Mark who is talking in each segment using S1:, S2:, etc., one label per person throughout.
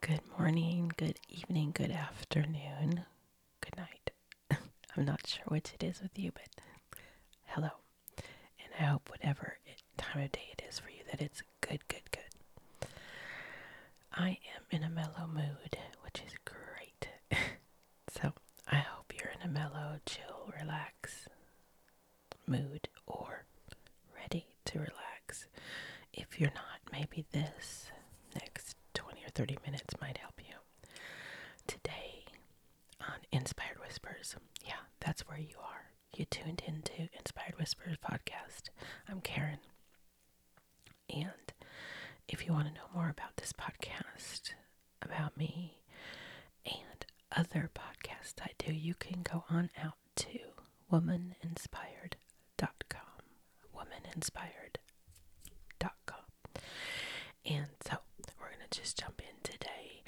S1: Good morning, good evening, good afternoon, good night. I'm not sure which it is with you, but hello. And I hope whatever time of day it is for you that it's good, good, good. I am in a mellow mood, which is great. So I hope you're in a mellow, chill, relax mood or ready to relax. If you're not, maybe this next 20 or 30 minutes might help you. Today on Inspired Whispers, yeah, that's where you are. You tuned into Inspired Whispers podcast. I'm Karen. And if you want to know more about this podcast, about me and other podcasts I do, you can go on out to womaninspired.com. Womaninspired.com. And so we're going to just jump in today.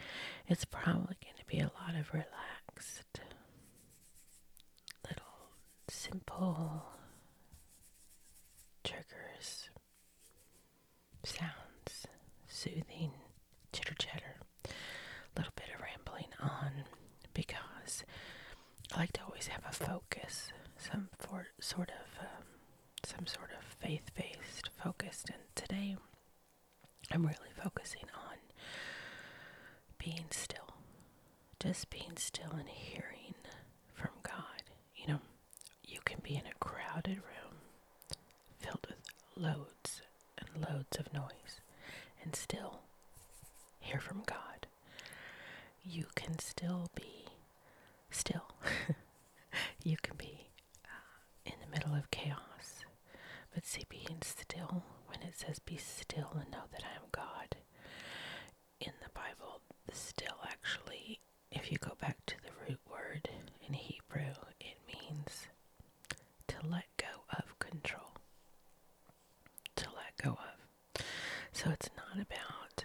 S1: It's probably going to be a lot of relaxed, little simple triggers sounds, soothing chitter chatter, little bit of rambling on because I like to always have a focus, some sort of um, some sort of faith-based focused and today I'm really focusing on being still. Just being still and hearing from God. You know, you can be in a crowded room filled with loads and loads of noise and still hear from God. You can still be still. you can be uh, in the middle of chaos. But see, being still, when it says be still and know that I am God in the Bible, still actually if you go back to the root word in Hebrew, it means to let go of control. To let go of. So it's not about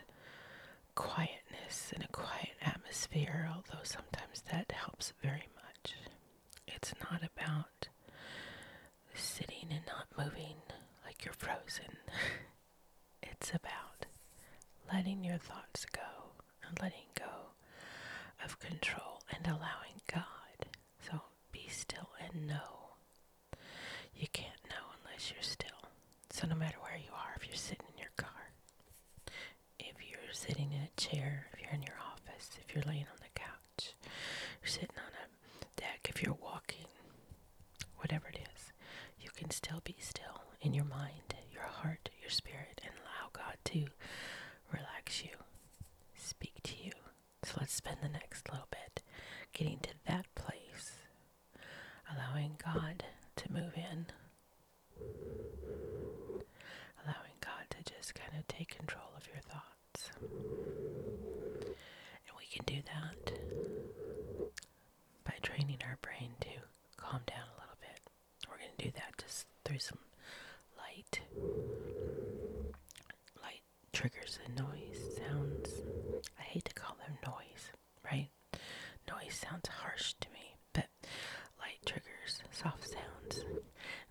S1: quietness and a quiet atmosphere, although sometimes that helps very much. It's not about sitting and not moving like you're frozen. It's about letting your thoughts go and letting go of control and allowing God. So be still and know. You can't know unless you're still. So no matter where you are, if you're sitting in your car, if you're sitting in a chair, if you're in your office, if you're laying on the couch, you're sitting on a deck, if you're walking, whatever it is you can still be still in your mind, your heart, your spirit, and allow God to relax you, speak to you. So let's spend the next little bit getting to that place, allowing God to move in, allowing God to just kind of take control of your thoughts. And we can do that by training our brain to calm down a little bit. We're going to do that just through some light, light triggers and noise sounds. I hate to call them noise, right? Noise sounds harsh to me, but light triggers, soft sounds,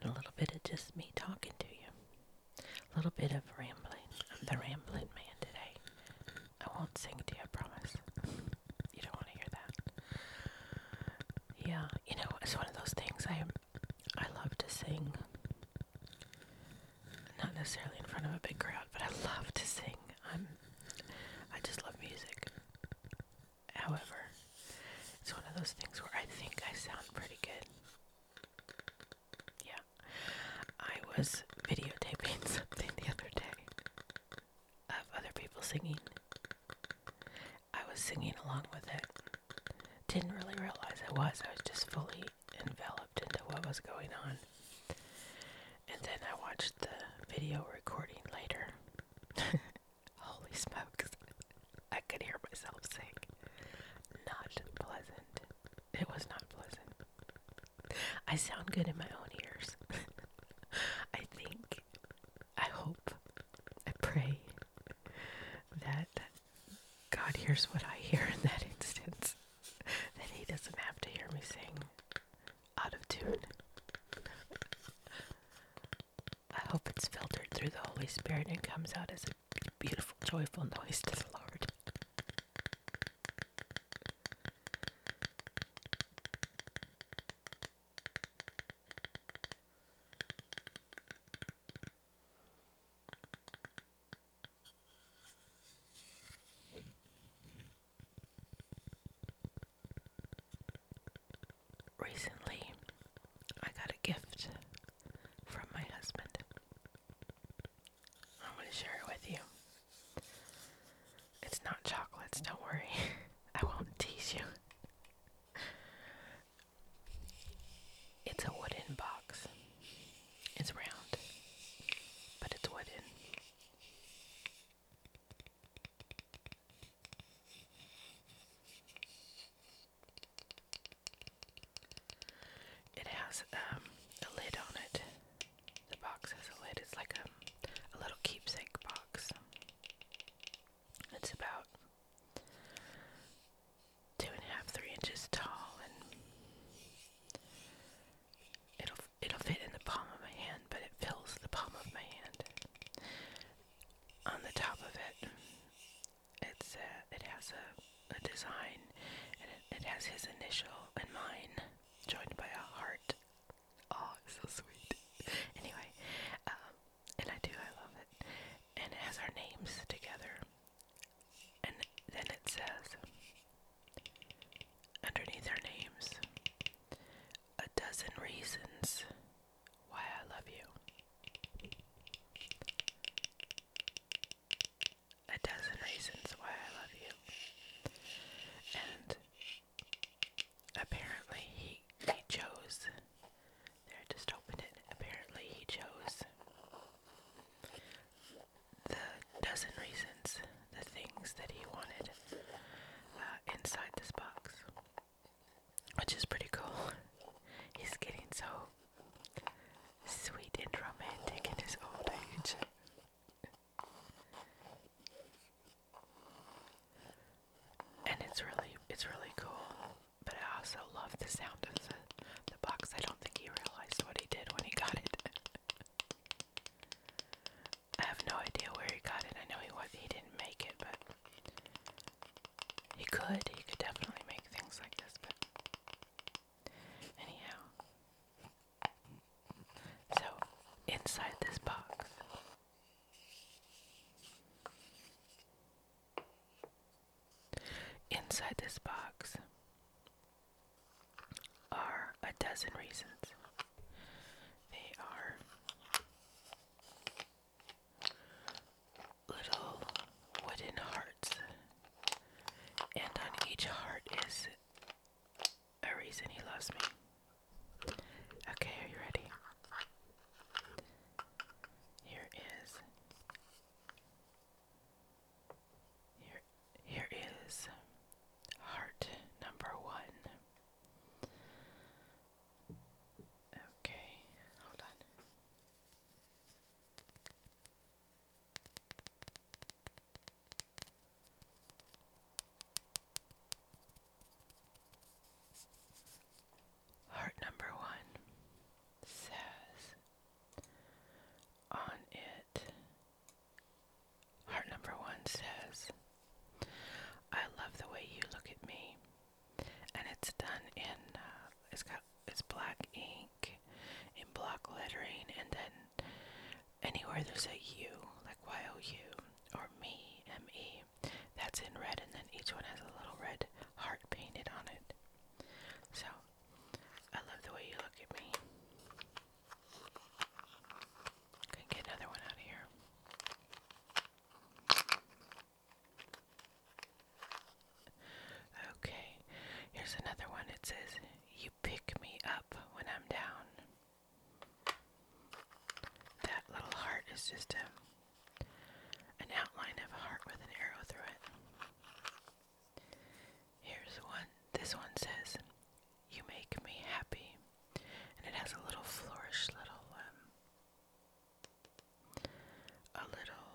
S1: and a little bit of just me talking to you. A little bit of rambling. I'm the rambling man today. I won't sing to you, I promise. you don't want to hear that. Yeah, you know, it's one of those things I I love to sing. Not necessarily in front of a big crowd, but I love to sing. I'm I just love music. However, it's one of those things where I think I sound pretty good. Yeah. I was videotaping something the other day of other people singing. I was singing along with it. Didn't really realize I was. I was just fully enveloped into what was going on. And then I watched the video recording later. Holy smokes. I could hear myself sing. Not pleasant. It was not pleasant. I sound good in my own ears. I think, I hope, I pray that God hears what I hear in that instance, that He doesn't have to hear me sing out of tune. I hope it's filtered through the Holy Spirit and comes out as a beautiful, joyful noise to the Lord. Recently, I got a gift from my husband. I'm to share it with you. It's not chocolates, don't worry. I won't tease you. It's a wooden box. It's round, but it's wooden. It has um, a lid on it the box has a lid. It's like a, a little keepsake box. It's about two and a half, three inches tall, and it'll it'll fit in the palm of my hand, but it fills the palm of my hand. On the top of it, it's uh, it has a, a design, and it has his initial and mine joined by a heart Oh, it's so sweet. anyway, um, and I do, I love it. And it has our names together. And then it says, underneath our names, a dozen reasons why I love you. A dozen reasons why I love you. And Apparently he he chose there I just opened it. Apparently he chose the dozen reasons, the things that he wanted uh, inside this box. Which is pretty cool. He's getting so sweet and romantic in his old age. And it's really it's really cool. But I also love the sound of the, the box. I don't think he realized what he did when he got it. I have no idea where he got it. I know he was he didn't make it, but he could. He could definitely make things like this, but anyhow. So, inside this box Inside this box are a dozen reasons. They are little wooden hearts, and on each heart is a reason he loves me. Okay, are you ready? Here is. Here, here is heart number one. Okay, hold on. Heart number one says on it. Heart number one says, I love the way you look at me. And it's done in, uh, it's got, it's black ink in block lettering and then anywhere there's a U, like Y O U, or me, M E, that's in red, and then each one has a little red heart painted on it. So, I love the way you look at me. Can get another one out of here. Okay, here's another one. It says, You pick me up when I'm down. That little heart is just a, an outline of a heart with an arrow through it. Here's one. This one says, You make me happy. And it has a little flourish, little, um, a little,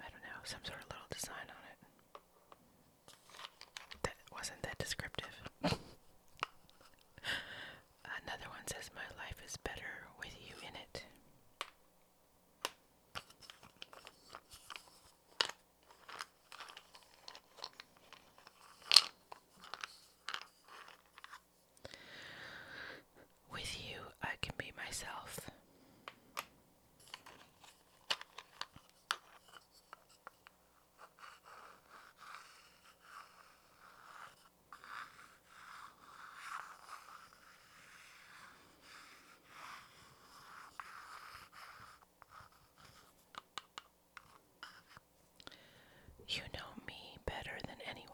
S1: I don't know, some sort of little design on it. That wasn't that descriptive. Another one says, My life is better with you in it. With you, I can be myself. You know me better than anyone.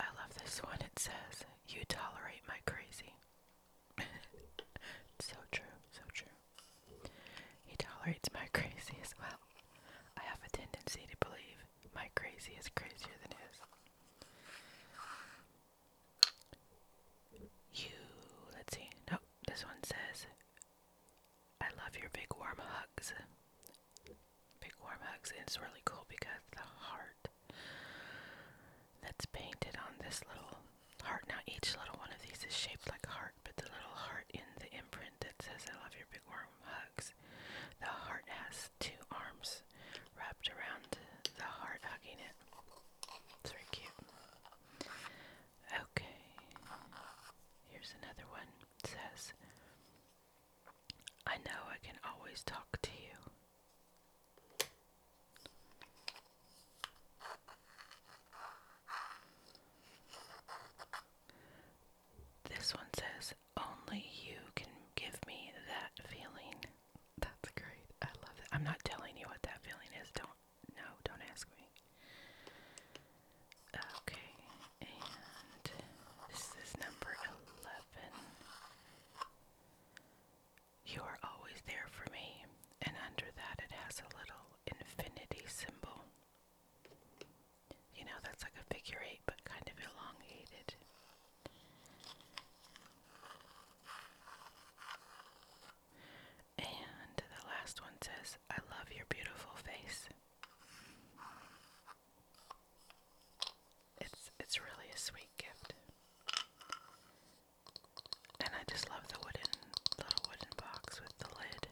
S1: I love this one. It says, You tolerate my crazy. so true, so true. He tolerates my crazy as well. I have a tendency to believe my crazy is crazier than his. You, let's see. Nope, this one says, I love your big warm hugs big warm hugs. And it's really cool because the heart that's painted on this little heart. Now each little one of these is shaped like a heart, but the little heart in the imprint that says I love your big warm hugs, the heart has two arms wrapped around the heart hugging it. It's very cute. Okay. Here's another one. says I know I can always talk to you. This one says, Only you can give me that feeling. That's great. I love it. I'm not telling you what that feeling is. Don't, no, don't ask me. Okay, and this is number 11. You are always there for me, and under that it has a little infinity symbol. You know, that's like a figure eight, but kind of elongated. And the last one says, I love your beautiful face. It's it's really a sweet gift. And I just love the wooden little wooden box with the lid.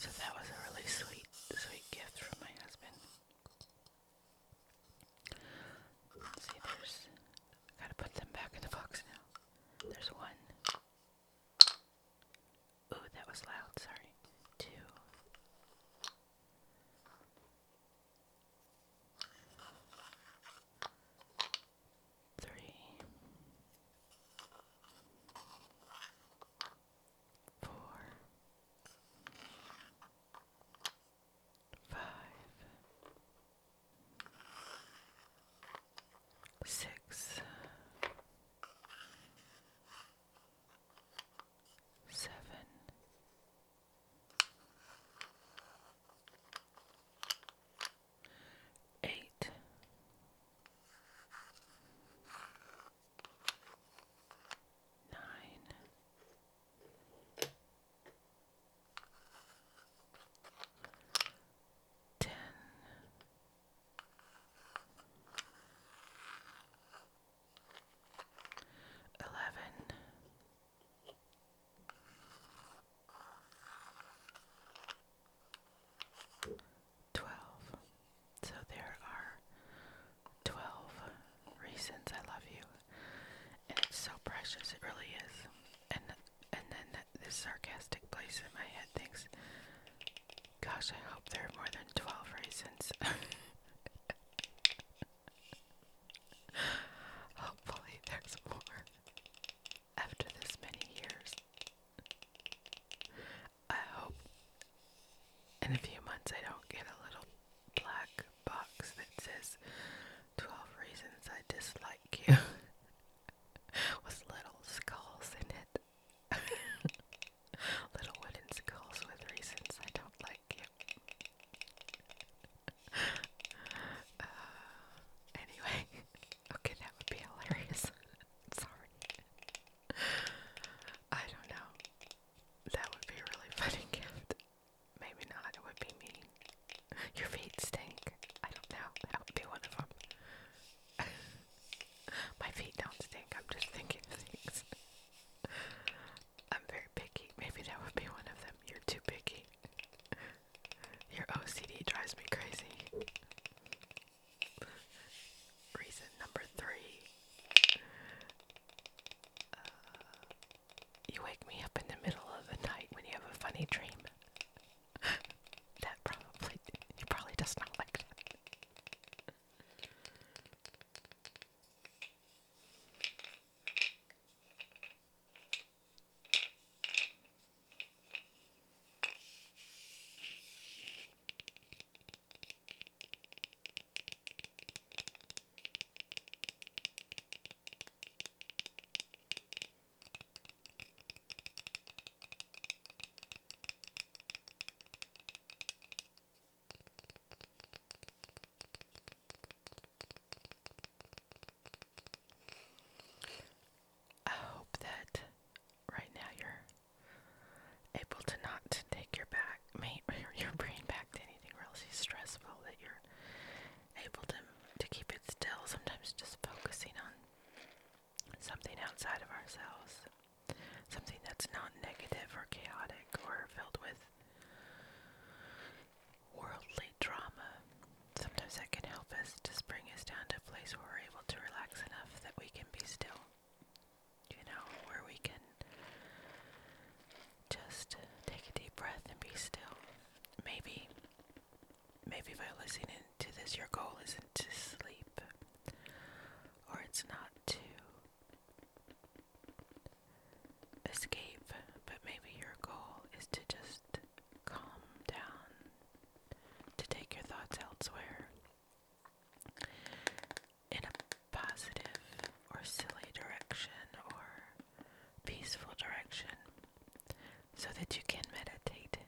S1: So that was a really sweet sweet, sweet gift from my husband. see, there's. gotta put them back in the box now. There's one. Ooh, that was loud, sorry. Two. Three four, five, six, seven. Eight, nine, ten, eleven. 12 twelve. So there are twelve reasons I love you, and it's so precious. It really is. And and then this sarcastic place in my head thinks, "Gosh, I hope there are more than twelve reasons." Hopefully, there's more after this many years. I hope in a few months I don't get a little black box that says 12 reasons I dislike you with little skulls in it. little wooden skulls with reasons I don't like you. Uh, anyway, okay, that would be hilarious. Sorry. I don't know. That would be a really funny gift. Maybe not, it would be mean. Your feet stink. I don't know. That would be one of them. My feet don't stink. I'm just thinking things. I'm very picky. Maybe that would be one of them. You're too picky. Your OCD drives me crazy. Reason number three. Uh, you wake me up in the middle of the night when you have a funny dream. that probably, he probably does not like I hope that right now you're able to not take your back, your brain back to anything really stressful that you're able to to keep it still. Sometimes just focusing on something outside of ourselves, something that's not negative or chaotic or filled with worldly drama. Sometimes that can help us just bring us down to a place where we're able to relax enough that we can be still you know, where we can just take a deep breath and be still. Maybe, maybe by listening to this, your goal isn't to sleep, or it's not to escape, but maybe your goal is to just calm down, to take your thoughts elsewhere in a positive or silly direction or peaceful direction so that you can meditate.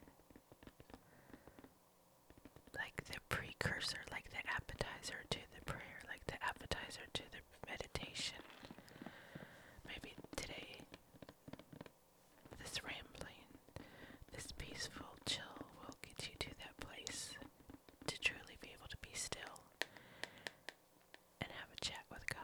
S1: Like the precursor, like the appetizer to the prayer, like the appetizer to the meditation. Maybe today, this rambling, this peaceful chill will get you to that place to truly be able to be still and have a chat with God.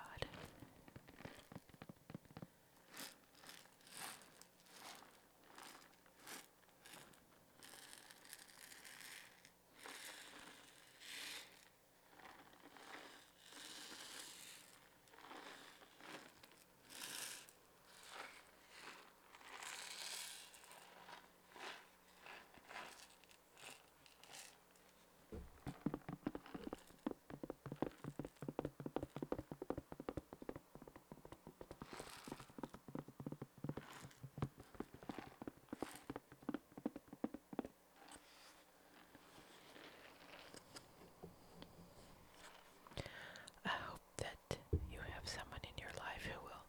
S1: I hope that you have someone in your life who will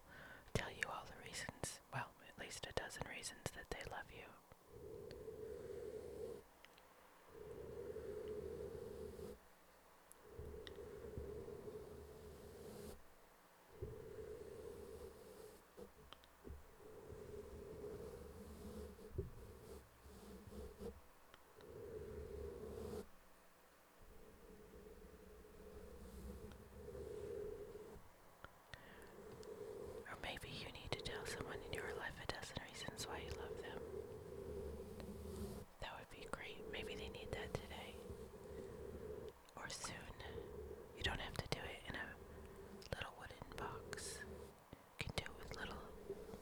S1: tell you all the reasons, well, at least a dozen reasons that they love you. Or maybe you need to tell someone in your life a dozen reasons why you love them. That would be great. Maybe they need that today. Or soon. You don't have to do it in a little wooden box. You can do it with little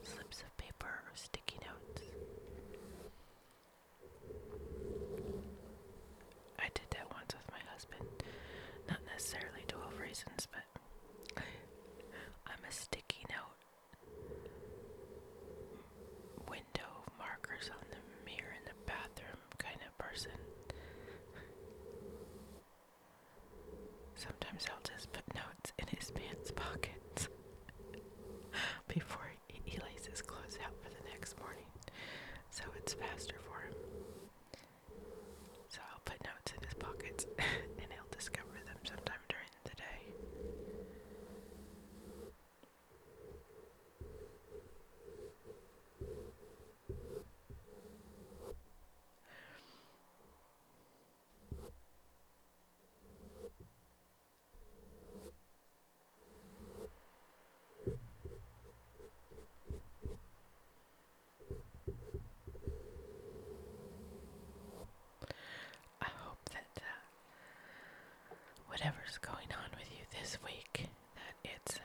S1: slips of paper or sticky notes. I did that once with my husband. Not necessarily 12 reasons, but I'm a sticky note window markers on the mirror in the bathroom kind of person. Sometimes I'll just put notes in his pants pockets before he lays his clothes out for the next morning, so it's faster for him. So I'll put notes in his pockets, and he'll discover them sometime during the day. I hope that uh, whatever's going on with you this week, that it's um,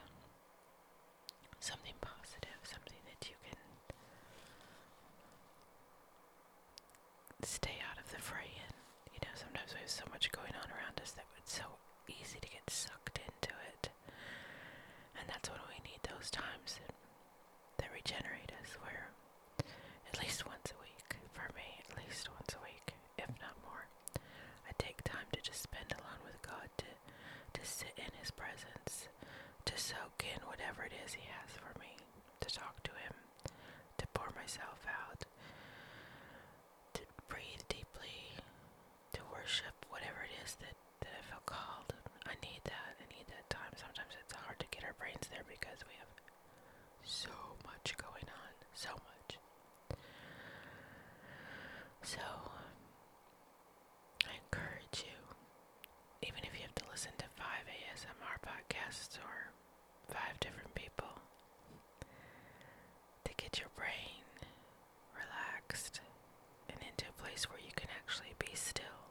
S1: something positive, something that you can stay out of the fray in you know, sometimes we have so much going on around us that it's so easy to get sucked into it. And that's what we need those times that, that regenerate us, where at least once a week, for me, at least once a week, if not more, I take time to just spend alone with God, to, to sit in His presence, to soak in whatever it is He has for me, to talk to Him, to pour myself out to breathe deeply, to worship whatever it is that, that I feel called. I need that. I need that time. Sometimes it's hard to get our brains there because we have so much going on. So much. So, I encourage you, even if you have to listen to five ASMR podcasts or five different people to get your brain relaxed and into a place where you can actually be still.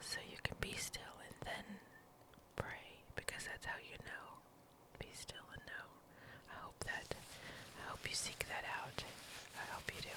S1: So you can be still and then pray because that's how you know. Be still and know. I hope that, I hope you seek that out. I hope you do.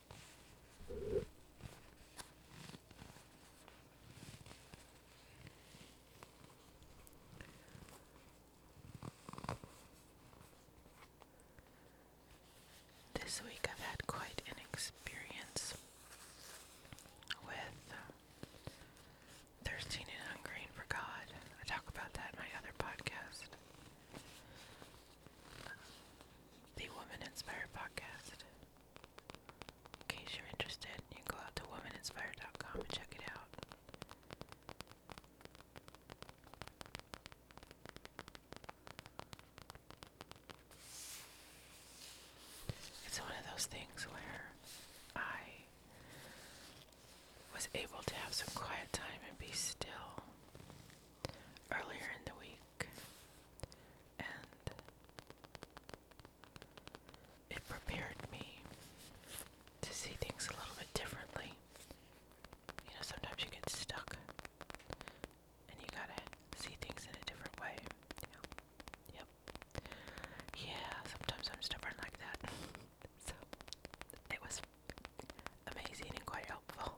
S1: This week I've had quite an experience with uh, thirsting and hungering for God. I talk about that in my other podcast, the Woman Inspired Podcast. In case you're interested, you can go out to womaninspired.com and check it out. It's one of those things where I was able to have some quiet time and be still earlier in the week and it prepared me to see things a little bit differently. You know, sometimes you get stuck and you gotta see things in a different way. Yep. Yeah, sometimes I'm stubborn like that. so it was amazing and quite helpful.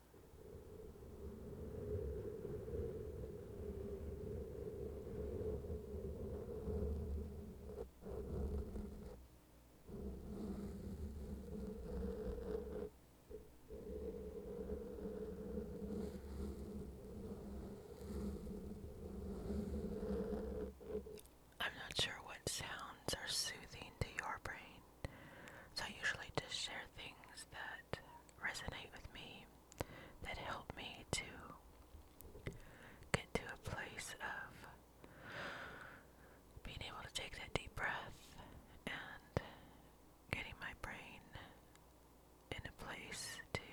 S1: I'm not sure what sounds are soothing to your brain. So I usually just share things that resonate with me, that help me to get to a place of being able to take that deep breath and getting my brain in a place to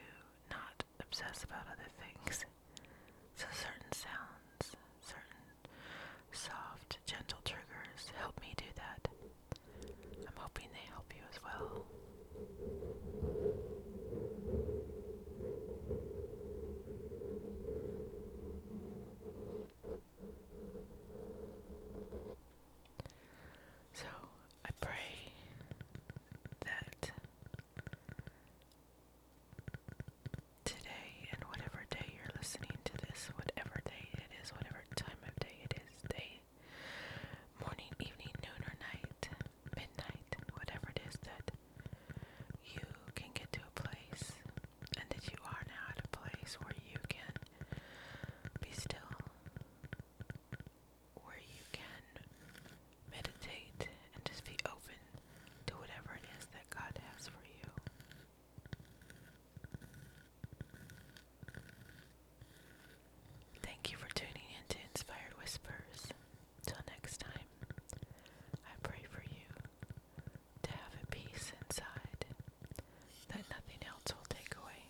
S1: not obsess about other things. So certain sounds, certain Soft, gentle triggers help me do that. I'm hoping they help you as well. So, I pray that today and whatever day you're listening to this, whatever day it is, whatever time of day it is, day, morning, evening, noon, or night, midnight, whatever it is that you can get to a place and that you are now at a place where you can be still, where you can meditate and just be open to whatever it is that God has for you. Thank you for tuning in to Inspired Whispers. Till next time, I pray for you to have a peace inside that nothing else will take away.